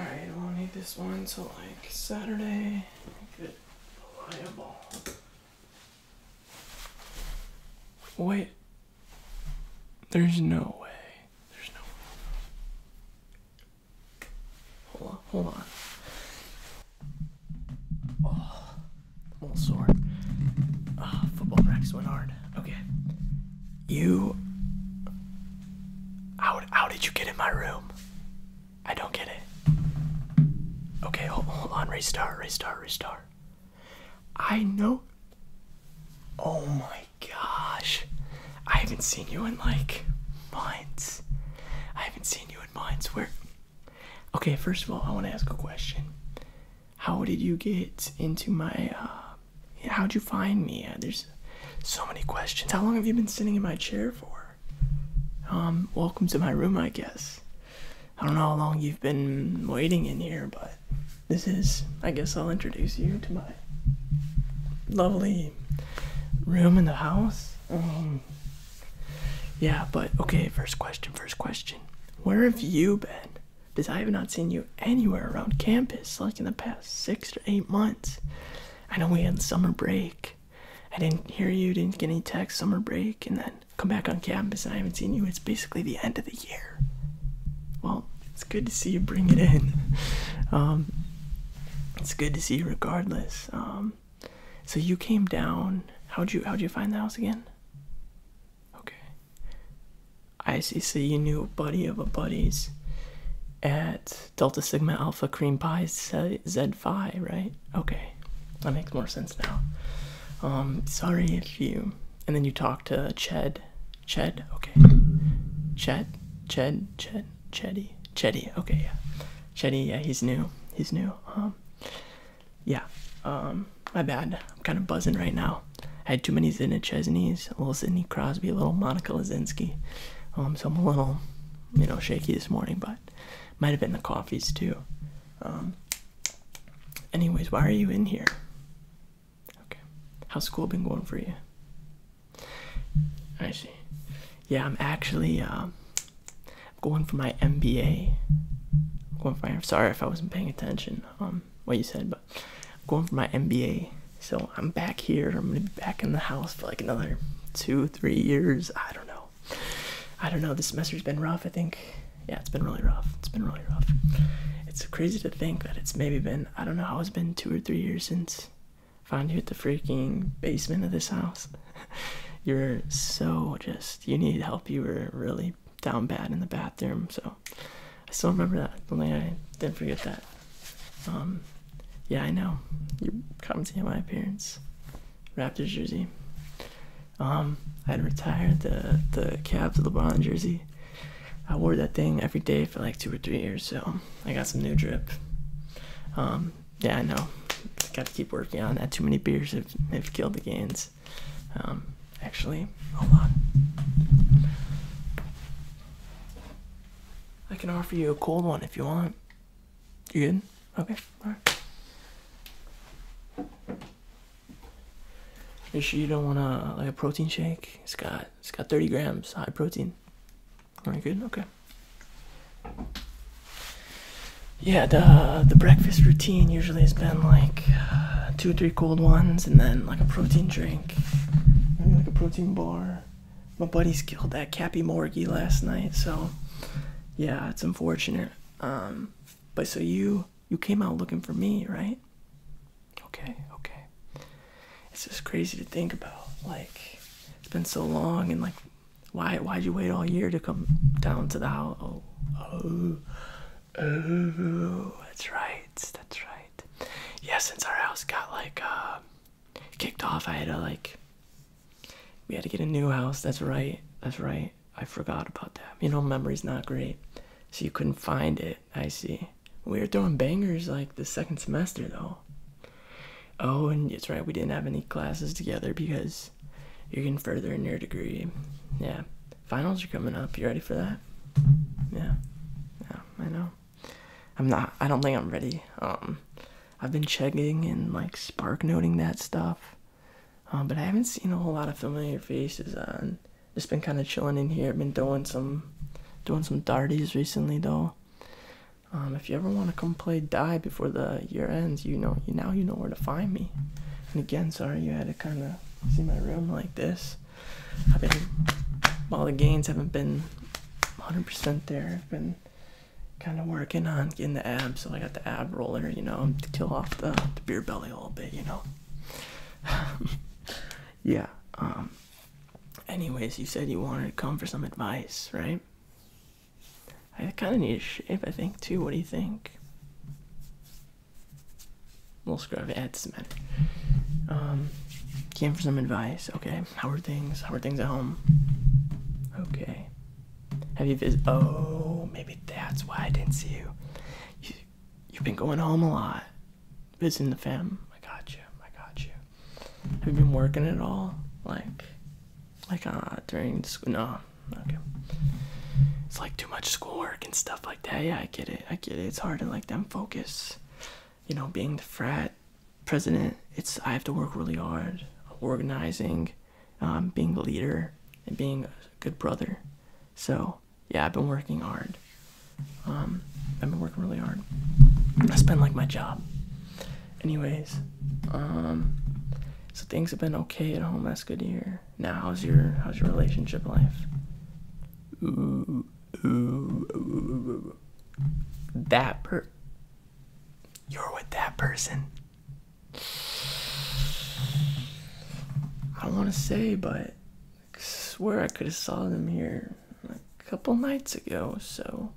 Alright, we'll need this one till like Saturday. Get reliable. Wait. There's no way. There's no way. Hold on, hold on. Oh, I'm all sore. Oh, football practice went hard. Okay. You. How, how did you get in my room? I don't get it. Okay, hold, on. Restart, restart, restart. I know. Oh my gosh. I haven't seen you in like months. I haven't seen you in months. Where. Okay, first of all, I want to ask a question. How did you get into my uh, how'd you find me? Uh, there's so many questions. How long have you been sitting in my chair for? Um, welcome to my room, I guess. I don't know how long you've been waiting in here, but this is, I guess I'll introduce you to my lovely room in the house. Um, yeah, but okay, first question, first question. Where have you been? Because I have not seen you anywhere around campus, like in the past six to eight months. I know we had summer break. I didn't hear you, didn't get any text, summer break, and then come back on campus and I haven't seen you. It's basically the end of the year. Well, it's good to see you bring it in. Um, it's good to see you regardless. Um, so you came down. How'd you how'd you find the house again? Okay. I see. you ICC a buddy of a buddies at Delta Sigma Alpha Cream Pie Z Phi, right? Okay, that makes more sense now. Um, sorry if you. And then you talk to Ched. Ched? Okay. Ched? Ched? Ched? Chetty? Chetty, okay, yeah. Chetty, yeah, he's new. He's new. Um, yeah, um, my bad. I'm kind of buzzing right now. I had too many Zidna Chesneys, a little Sidney Crosby, a little Monica Lazinski. Um, so I'm a little, you know, shaky this morning, but might have been the coffees too. Um, anyways, why are you in here? Okay. How's school been going for you? I see. Yeah, I'm actually um, going for my MBA. going for sorry if I wasn't paying attention. Um, what you said, but. I'm going for my MBA. So I'm back here. I'm gonna be back in the house for like another two, three years. I don't know. I don't know. This semester's been rough. I think, yeah, it's been really rough. It's been really rough. It's crazy to think that it's maybe been, I don't know how it's been two or three years since I found you at the freaking basement of this house. You're so just, you need help. You were really down bad in the bathroom. So I still remember that. Only I didn't forget that. Um, yeah, I know. you come commenting on my appearance. Raptors jersey. Um, I had retired the the Cavs LeBron jersey. I wore that thing every day for like two or three years, so I got some new drip. Um, yeah, I know. Got to keep working on that. Too many beers have killed the gains. Um, actually, hold on. I can offer you a cold one if you want. You good? Okay, alright. You you don't want a like a protein shake? It's got it's got 30 grams high protein. All right, good. Okay. Yeah, the the breakfast routine usually has been like uh, two or three cold ones, and then like a protein drink, maybe like a protein bar. My buddies killed that Cappy Morgy last night, so yeah, it's unfortunate. Um, but so you you came out looking for me, right? Okay, okay. It's just crazy to think about. Like it's been so long, and like why why'd you wait all year to come down to the house? Oh, oh. Oh, that's right. That's right. Yeah, since our house got like uh, kicked off, I had to like. We had to get a new house. That's right. That's right. I forgot about that. You know, memory's not great. So you couldn't find it. I see. We were throwing bangers like the second semester though. Oh, and it's right. We didn't have any classes together because you're getting further in your degree. Yeah finals are coming up. You ready for that? Yeah. Yeah, I know. I'm not I don't think I'm ready. Um I've been checking and like spark noting that stuff. Um, but I haven't seen a whole lot of familiar faces on. Just been kind of chilling in here. Been doing some, doing some darties recently though. Um, if you ever want to come play die before the year ends, you know, you now you know where to find me. And again, sorry you had to kind of see my room like this. I've been while the gains haven't been 100% there. I've been kind of working on getting the abs, so I got the ab roller, you know, to kill off the, beer belly a little bit, you know. yeah. Um, anyways, you said you wanted to come for some advice, right? I kind of need a shave, I think, too. What do you think? Little scrub ads, man. Um, came for some advice. Okay, how are things? How are things at home? Okay. Have you visited? Oh, maybe that's why I didn't see you. you. have been going home a lot, visiting the fam. I got you. I got you. Have you been working at all? Like, like uh, during school? No, okay. It's like too much schoolwork and stuff like that. Yeah, I get it. I get it. It's hard to like them focus. You know, being the frat president, it's I have to work really hard. Organizing, um, being the leader, and being a good brother. So yeah, I've been working hard. Um, I've been working really hard. That's been like my job. Anyways, um, so things have been okay at home. That's good to hear. Now, how's your how's your relationship life? That per. You're with that person. I don't want to say, but I swear I could have saw them here a couple nights ago. So,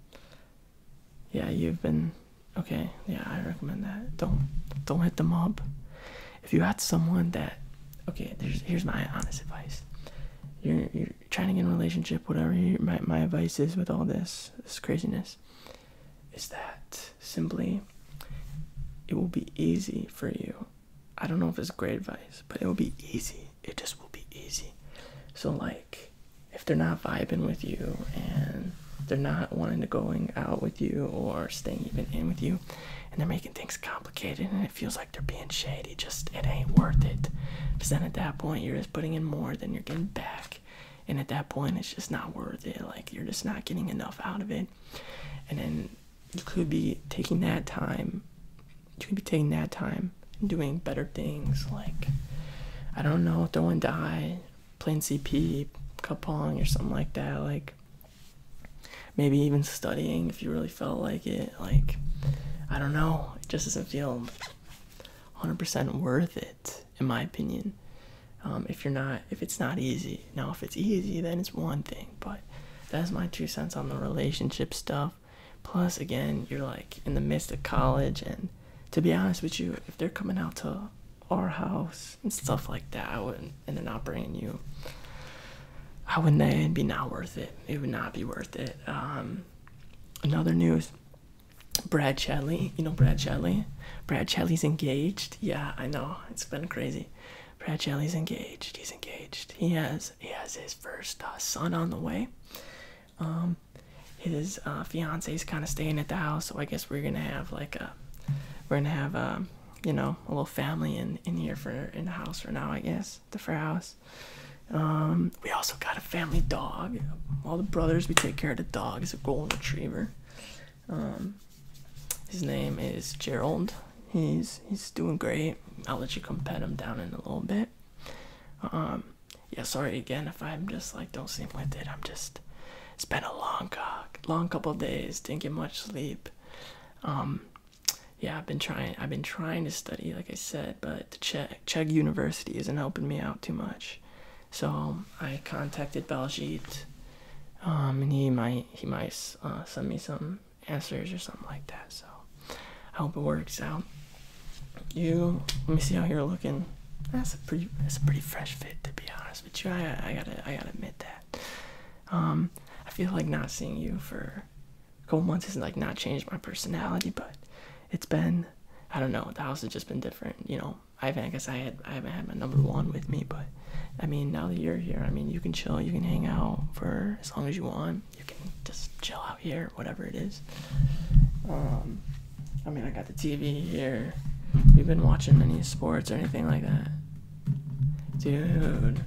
yeah, you've been Okay, yeah, I recommend that. Don't don't hit the mob. If you got someone that okay, there's here's my honest advice. You're you're trying to get in a relationship, whatever my my advice is with all this this craziness, is that simply it will be easy for you. I don't know if it's great advice, but it will be easy. It just will be easy. So like if they're not vibing with you and they're not wanting to going out with you or staying even in with you. And they're making things complicated and it feels like they're being shady. Just it ain't worth it. Because then at that point you're just putting in more than you're getting back. And at that point it's just not worth it. Like you're just not getting enough out of it. And then you could be taking that time you could be taking that time doing better things like I don't know, throwing die, plain CP, Kapong, or something like that. Like maybe even studying if you really felt like it. Like I don't know, it just doesn't feel 100% worth it, in my opinion. Um, if you're not, if it's not easy. Now, if it's easy, then it's one thing. But that's my two cents on the relationship stuff. Plus, again, you're like in the midst of college, and to be honest with you, if they're coming out to our house and stuff like that. I wouldn't, and they're not bringing you. I wouldn't. It'd be not worth it. It would not be worth it. Um, another news. Brad Shelley, you know Brad Shelley. Brad Shelley's engaged. Yeah, I know. It's been crazy. Brad Shelley's engaged. He's engaged. He has he has his first uh, son on the way. Um, his uh, fiance's kind of staying at the house, so I guess we're gonna have like a we're gonna have um you know a little family in in here for in the house for now I guess the for house. Um, we also got a family dog. All the brothers we take care of the dog. It's a golden retriever. Um, his name is Gerald. He's he's doing great. I'll let you come pet him down in a little bit. Um, yeah, sorry again if I'm just like don't seem with it. I'm just it's been a long, uh, long couple days. Didn't get much sleep. Um, yeah, I've been trying. I've been trying to study, like I said, but check check University isn't helping me out too much. So um, I contacted Baljeet, um, and he might he might uh, send me some answers or something like that. So I hope it works out you let me see how you're looking. That's a pretty that's a pretty fresh fit to be honest But you. I gotta I gotta admit that. Um I feel like not seeing you for a couple months has like not changed my personality, but it's been I don't know, the house has just been different, you know. I haven't I guess I had I haven't had my number one with me, but I mean now that you're here, I mean you can chill, you can hang out for as long as you want. You can just chill out here, whatever it is. Um, I mean, I got the TV here. We've been watching any sports or anything like that, dude.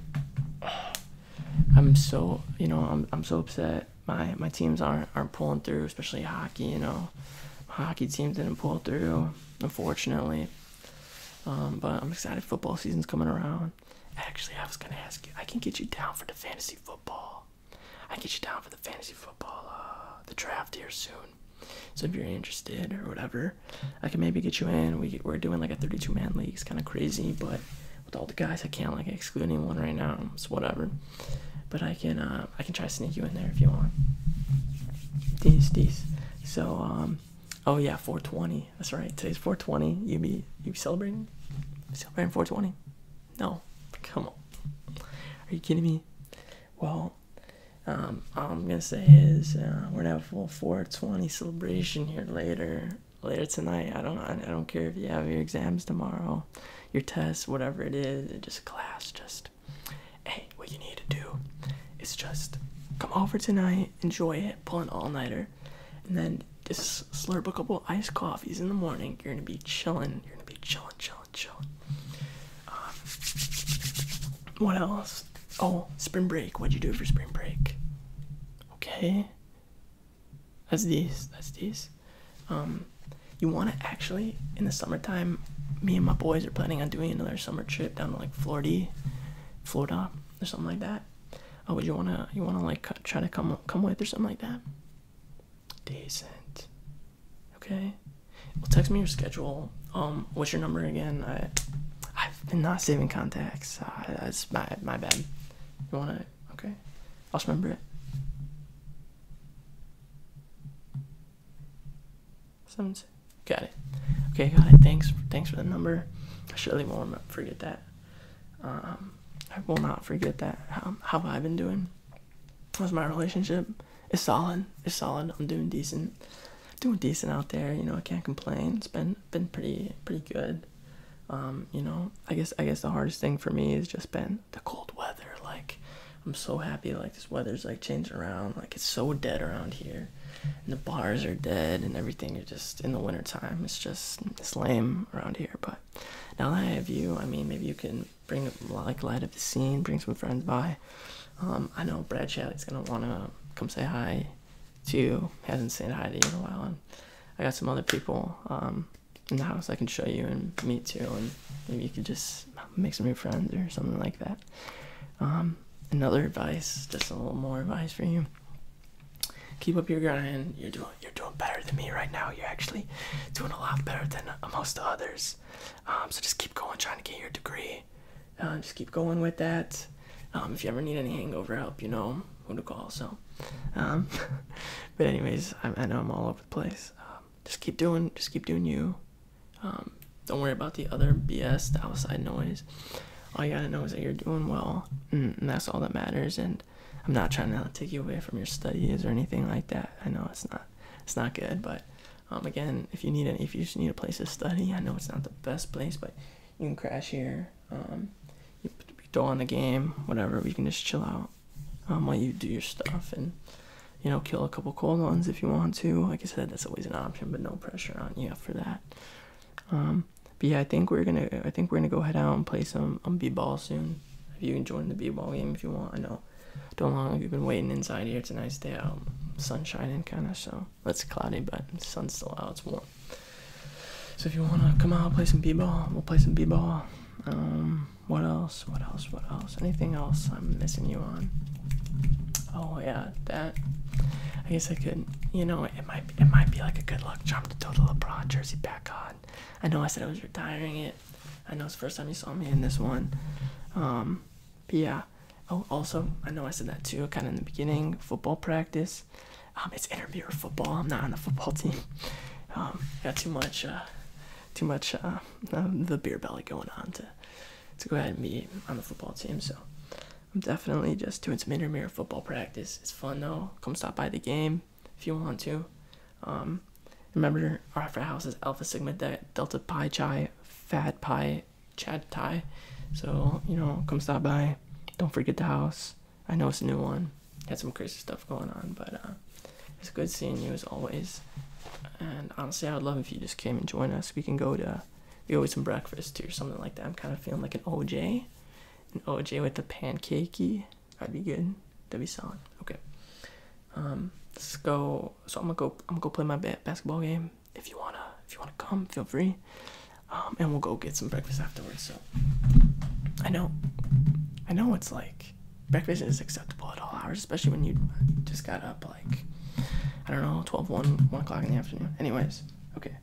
I'm so you know I'm I'm so upset. My my teams aren't aren't pulling through, especially hockey. You know, hockey team didn't pull through, unfortunately. Um, but I'm excited. Football season's coming around. Actually, I was gonna ask you. I can get you down for the fantasy football. I get you down for the fantasy football, uh, the draft here soon. So if you're interested or whatever, I can maybe get you in. We are doing like a 32 man league. It's kind of crazy, but with all the guys, I can't like exclude anyone right now. So whatever. But I can uh, I can try to sneak you in there if you want. These these. So um, oh yeah, 420. That's right. Today's 420. You be you be celebrating? Celebrating 420. No, come on. Are you kidding me? Well, um, all I'm gonna say is uh, we're gonna have a full 420 celebration here later, later tonight. I don't, I don't care if you have your exams tomorrow, your tests, whatever it is. Just class, just hey, what you need to do is just come over tonight, enjoy it, pull an all nighter, and then it's slurbookable iced coffees in the morning. You're gonna be chilling. You're gonna be chilling, chilling, chilling. Um, what else? Oh, spring break. What'd you do for spring break? Okay. That's this. That's this. Um, you want to actually in the summertime. Me and my boys are planning on doing another summer trip down to like Florida, Florida or something like that. Oh, would you wanna you wanna like try to come come with or something like that? Decent. Okay. Well, text me your schedule. Um, what's your number again? I, I've been not saving contacts. Uh, that's my my bad. You want it? Okay. I'll remember it. Seven. Got it. Okay, got it. Thanks. Thanks for the number. I surely won't forget that. Um, I will not forget that how, how I've been doing with my relationship. It's solid. It's solid. I'm doing decent. Doing decent out there. You know, I can't complain. It's been been pretty pretty good. Um, you know, I guess I guess the hardest thing for me has just been the cold weather. Like, I'm so happy. Like this weather's like changing around. Like it's so dead around here, and the bars are dead and everything. You're just in the wintertime. It's just it's lame around here. But now that I have you, I mean, maybe you can bring like light of the scene, bring some friends by. Um, I know Brad Shelley's gonna wanna come say hi to you. Hasn't said hi to you in a while, and I got some other people um, in the house I can show you and meet too, and maybe you could just make some new friends or something like that. Um, another advice, just a little more advice for you. Keep up your grind. You're doing you're doing better than me right now. You're actually doing a lot better than most others. Um, so just keep going, trying to get your degree. Uh, just keep going with that. Um, if you ever need any hangover help, you know who to call. So, um, but anyways, I, know I'm all over the place. just keep doing, just keep doing you. don't worry about the other BS, the outside noise. All you gotta know is that you're doing well, and that's all that matters. And I'm not trying to take you away from your studies or anything like that. I know it's not it's not good, but um, again, if you need if you just need a place to study, I know it's not the best place, but you can crash here. Um, you, you throw on the game, whatever. We can just chill out um, while you do your stuff and you know kill a couple cold ones if you want to. Like I said, that's always an option, but no pressure on you for that. Um, but yeah, I think we're gonna I think we're gonna go head out and play some um, b-ball soon. If you can join the b-ball game if you want, I know. Don't long have you been waiting inside here. It's a nice day out, sun shining kind of. So it's cloudy, but the sun's still out. It's warm. So if you wanna come out, and play some b-ball. We'll play some b-ball. Um, what else? What else? What else? Anything else I'm missing you on? Oh yeah, that. I guess I could. You know, it might it might be like a good luck charm to throw the LeBron jersey back on. I know I said I was retiring it. I know it's the first time you saw me in this one. Um, but yeah. Oh, also, I know I said that too, kind of in the beginning. Football practice. Um, it's intermediate football. I'm not on the football team. Um, got too much, uh, too much uh, the beer belly going on to to go ahead and be on the football team. So, I'm definitely just doing some intermirror football practice. It's fun though. Come stop by the game if you want to. Um, remember, our house is Alpha Sigma Delta Pi Chi Fat Pi Chad Thai. So, you know, come stop by. Don't forget the house. I know it's a new one. Had some crazy stuff going on, but uh, it's good seeing you as always. And honestly, I would love if you just came and join us. We can go to we go always some breakfast or something like that. I'm kind of feeling like an OJ, an OJ with the pancakey. That'd be good. That'd be solid. Okay. Um, let's go. So I'm gonna go. I'm gonna go play my basketball game. If you wanna, if you wanna come, feel free. Um, and we'll go get some breakfast afterwards. So I know, I know it's like breakfast is acceptable at all hours, especially when you just got up like I don't know, 12, 1, 1 o'clock in the afternoon. Anyways, okay.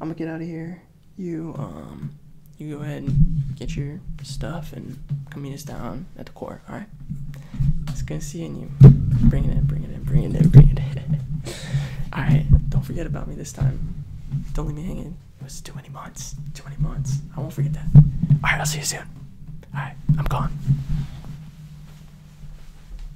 I'm gonna get out of here. You um you go ahead and get your stuff and come meet us down at the court, alright? It's good seeing you. Bring it in, bring it in, bring it in, bring it in. alright, don't forget about me this time. Don't leave me hanging. It was too many months. Too many months. I won't forget that. Alright, I'll see you soon. Alright, I'm gone.